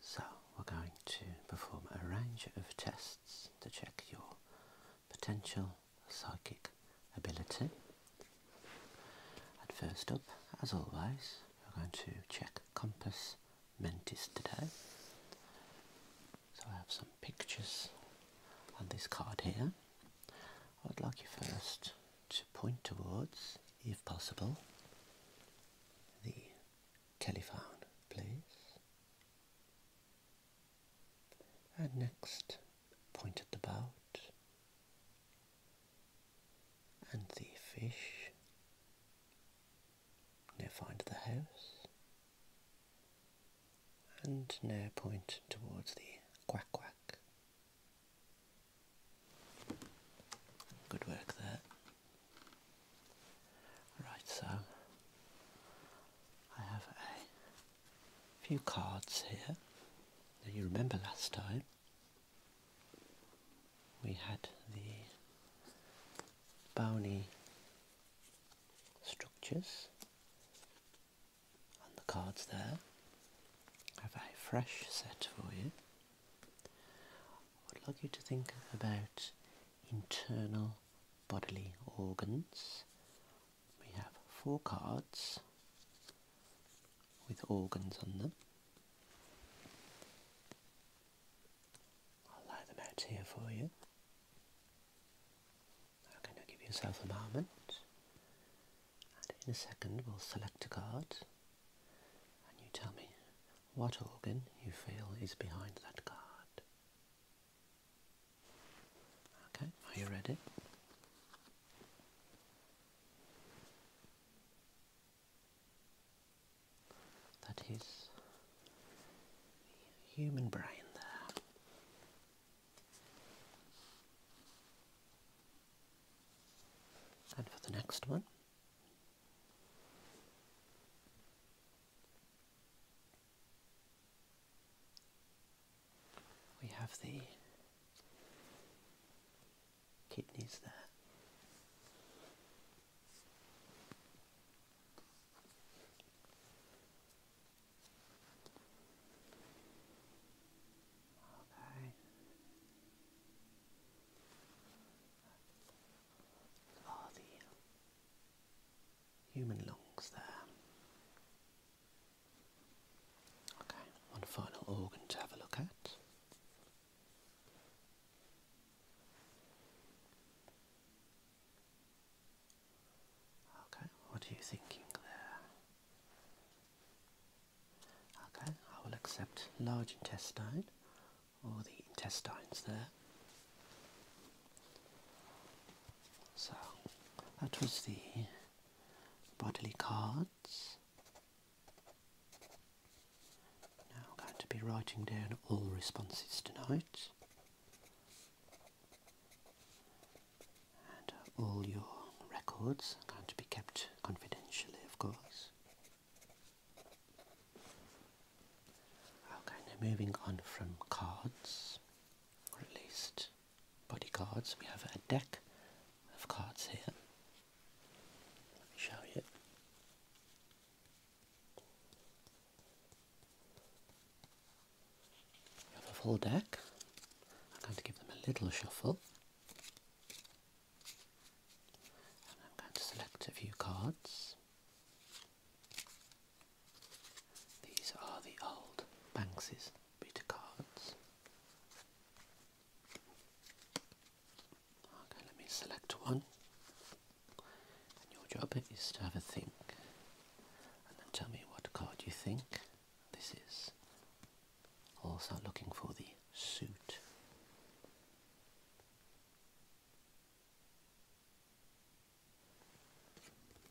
So we're going to perform a range of tests to check your potential psychic ability. And first up, as always, we're going to check compass mentis today. So I have some pictures on this card here. I'd like you first to point towards, if possible, the telephone, please. And next, point at the boat and the fish. Now find the house. And now point towards the quack quack. Good work there. Right, so I have a few cards here. Now you remember last time we had the bony structures on the cards there. I have a fresh set for you I would like you to think about internal bodily organs. We have four cards with organs on them. I'll lay them out here for you. Okay, now give yourself a moment. And in a second, we'll select a card and you tell me what organ you feel is behind that card? Okay, are you ready? That is the human brain there. And for the next one, we have the kidneys there. Okay are the human lungs there. Okay, one final organ to have a look at. Okay, what are you thinking there? Okay, I will accept large intestine or the intestines there. So that was the bodily cards. Now I'm going to be writing down all responses tonight and uh, all your records are going to be kept confidentially of course. Okay, now moving on from cards, or at least body cards, we have a deck of cards here. Let me show you. You have a full deck. I'm going to give them a little shuffle. I'm going to select a few cards. These are the old Banks's beta cards. Okay, let me select one. your job is to have a think and then tell me what card you think this is. Also looking for the suit.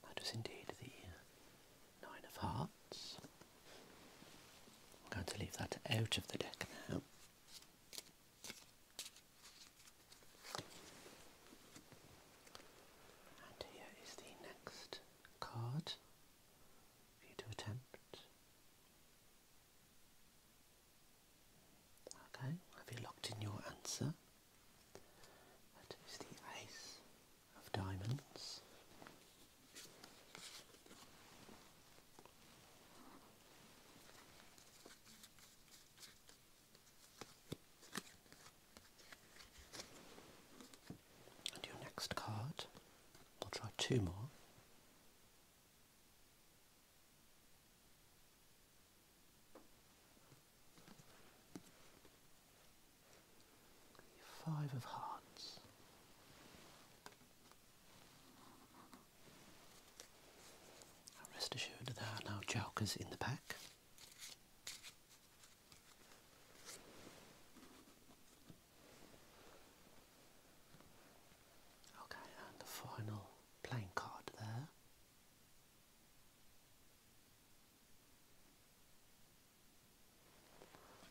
That is indeed the Nine of Hearts. I'm going to leave that out of the deck now. And here is the next card for you to attempt. Okay, have you locked in your answer? That is the ace of diamonds. And your next card, we'll try two more. Five of Hearts. Rest assured there are now jokers in the pack. Okay, and the final playing card there.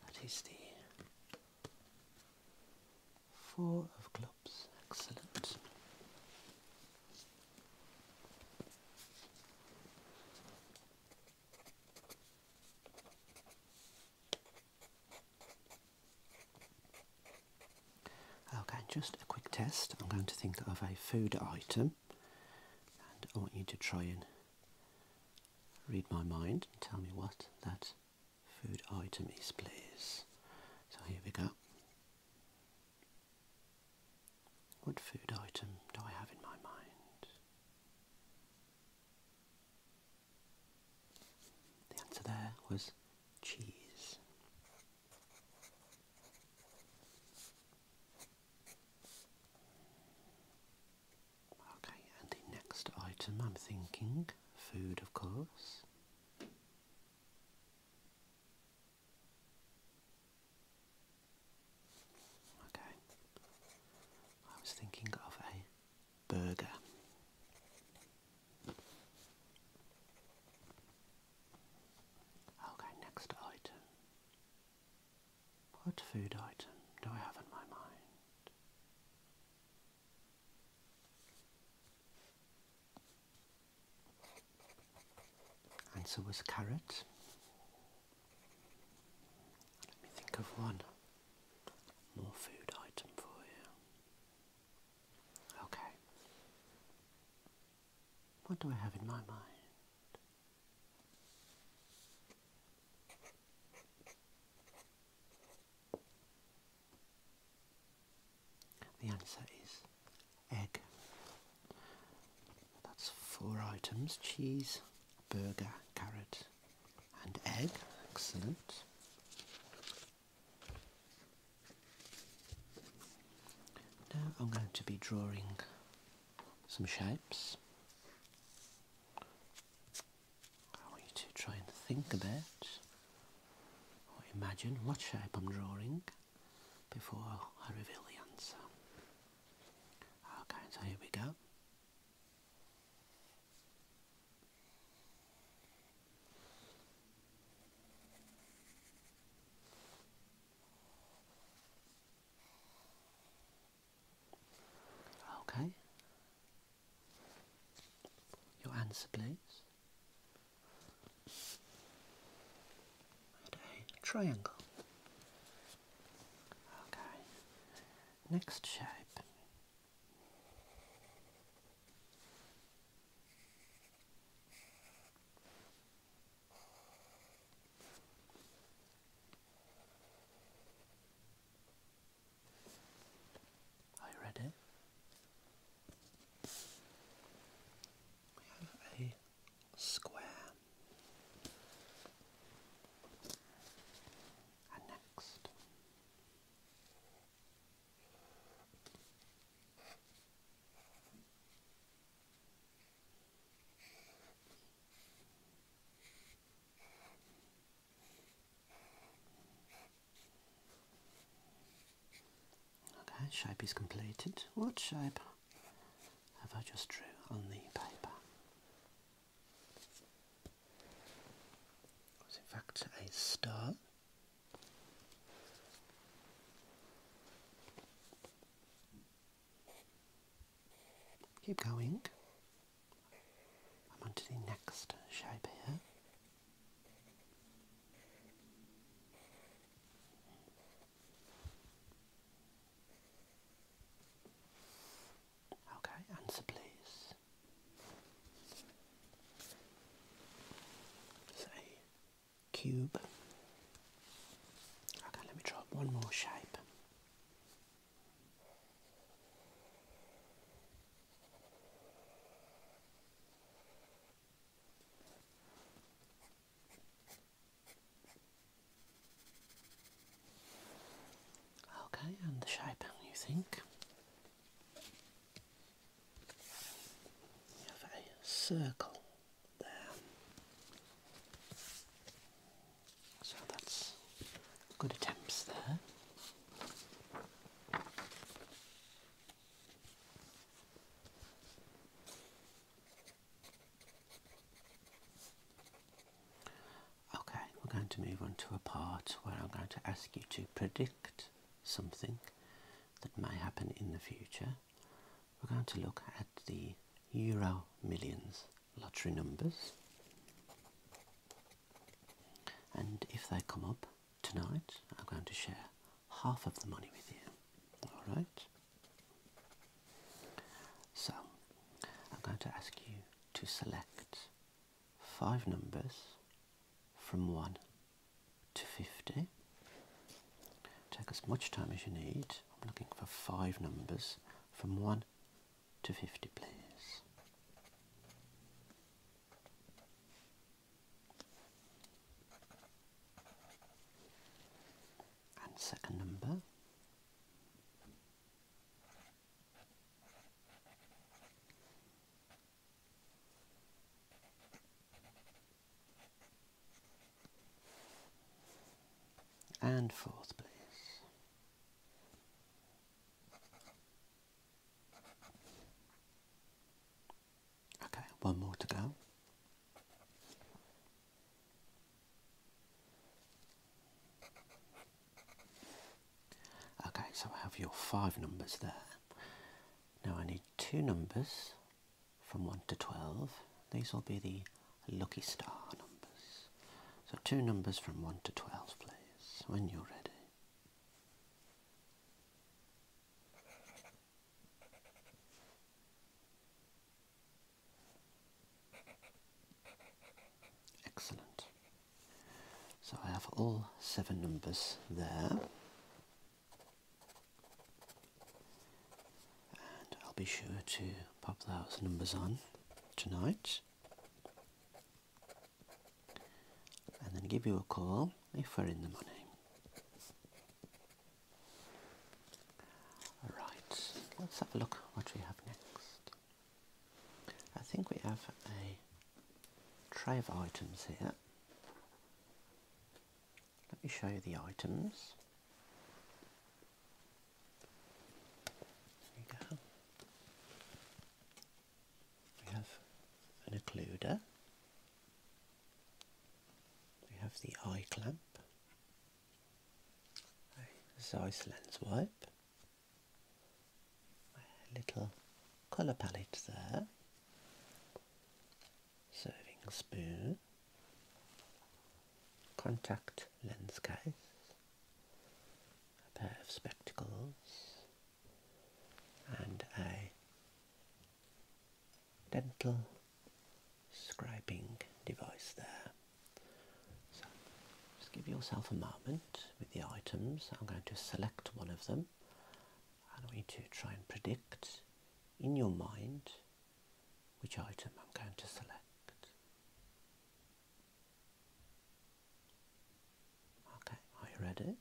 That is the Four of Clubs. Excellent. Okay, just a quick test. I'm going to think of a food item and I want you to try and read my mind and tell me what that food item is, please. So here we go. What food item do I have in my mind? The answer there was cheese. Okay, and the next item I'm thinking food, of course. Okay, I was thinking of a burger. Okay, next item. What food item do I have in my mind? Answer was carrot. Let me think of one more food item for you. Okay. What do I have in my mind? The answer is egg. That's four items cheese, burger, carrot, and egg. Excellent. Now I'm going to be drawing some shapes. I want you to try and think about imagine what shape I'm drawing before I reveal the answer. Okay, so here we go. Okay. Your answer, please. triangle. Okay. Next shape are you ready? We have a square and next Okay, shape is completed. What shape have I just drew on the paper? was in fact a star. Keep going. I'm on the next shape here. Okay, answer please say cube. Okay, let me draw one more shape. Okay, and the shape, you think? We have a circle there. So that's good attempts there. Okay, we're going to move on to a part where I'm going to ask you to predict something that may happen in the future, we're going to look at the Euro Millions lottery numbers. And if they come up tonight, I'm going to share half of the money with you. Alright? So, I'm going to ask you to select five numbers from 1 to 50. Take as much time as you need. I'm looking for five numbers from 1 to 50, please. And second number. And fourth place. Okay, one more to go. Okay, so I have your five numbers there. Now I need two numbers from 1 to 12. These will be the lucky star numbers. So two numbers from 1 to 12 please, when you're ready. Excellent. So I have all seven numbers there. And I'll be sure to pop those numbers on tonight. And then give you a call if we're in the money. Right, let's have a look what we have next. I think we have a tray of items here. Let me show you the items. There you go. We have an occluder. We have the eye clamp. A Zeiss lens wipe little colour palette there, serving spoon, contact lens case, a pair of spectacles and a dental scraping device there. So just give yourself a moment with the items. I'm going to select one of them and I want to try and predict in your mind which item I'm going to select. Okay, are you ready?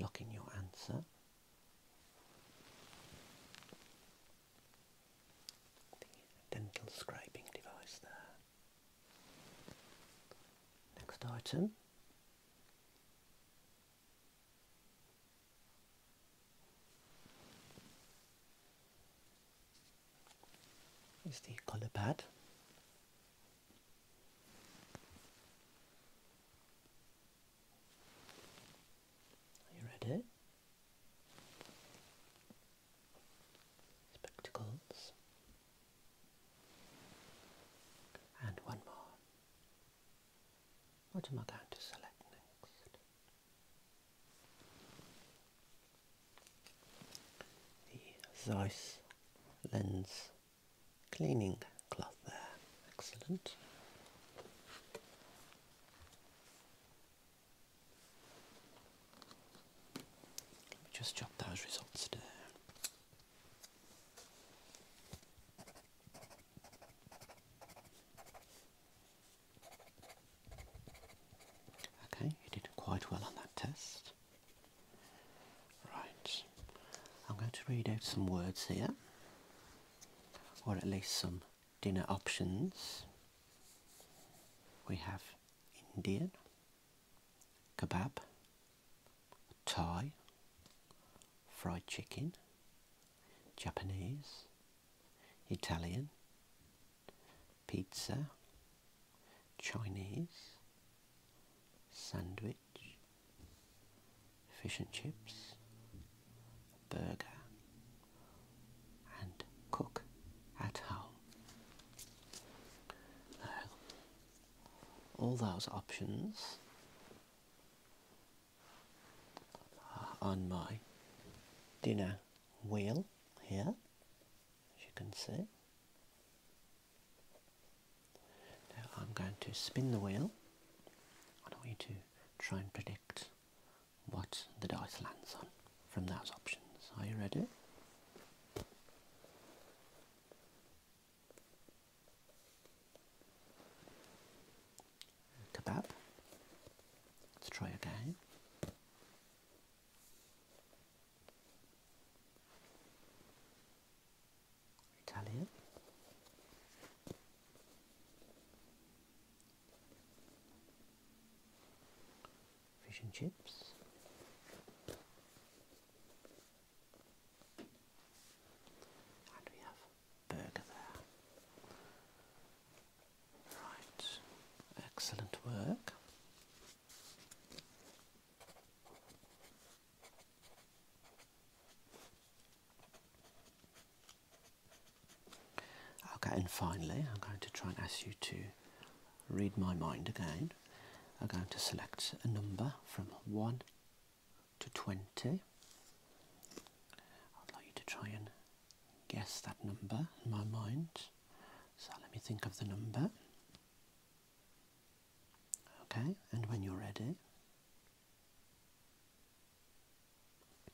Lock in your answer. The dental scraping device there. Next item. Is the colour pad. Are you ready? Spectacles. And one more. What am I going to select next? The Zeiss lens cleaning cloth there. Excellent. Let me just jot those results down. Okay, you did quite well on that test. Right, I'm going to read out some words here, or at least some dinner options. We have Indian, kebab, Thai, fried chicken, Japanese, Italian, pizza, Chinese, sandwich, fish and chips, burger, and cook at home. Uh, all those options on my dinner wheel here, as you can see. Now I'm going to spin the wheel. I want you to try and predict what the dice lands on from those options. Are you ready? Kebab. Let's try again. Italian. Fish and chips. And we have burger there. Right, excellent work. Okay, and finally, I'm going to try and ask you to read my mind again are going to select a number from 1 to 20. I'd like you to try and guess that number in my mind. So let me think of the number. Okay, and when you're ready,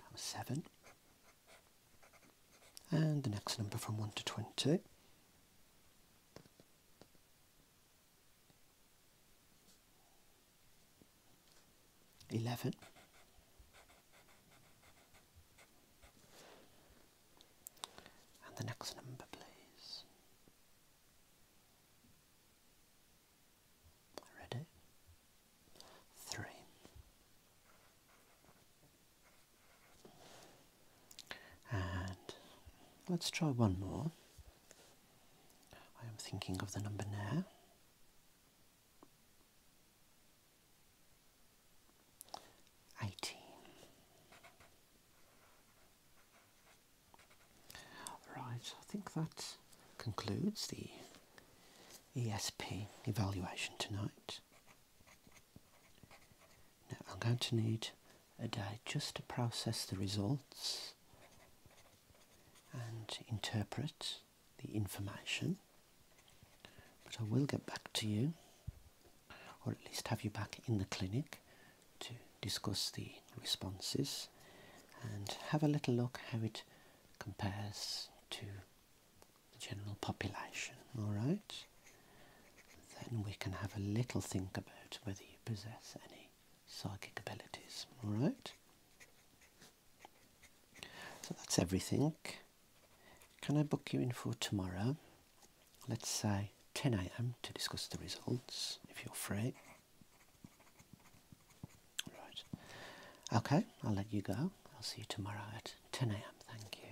I'm 7. And the next number from 1 to 20. 11 and the next number please ready 3 and let's try one more. I am thinking of the number now. Right, I think that concludes the ESP evaluation tonight. Now I'm going to need a day just to process the results and interpret the information but I will get back to you or at least have you back in the clinic to discuss the responses and have a little look how it compares to the general population all right then we can have a little think about whether you possess any psychic abilities. All right. So that's everything. Can I book you in for tomorrow? Let's say 10 a.m. to discuss the results if you're free. Right. Okay, I'll let you go. I'll see you tomorrow at 10 a.m. Thank you.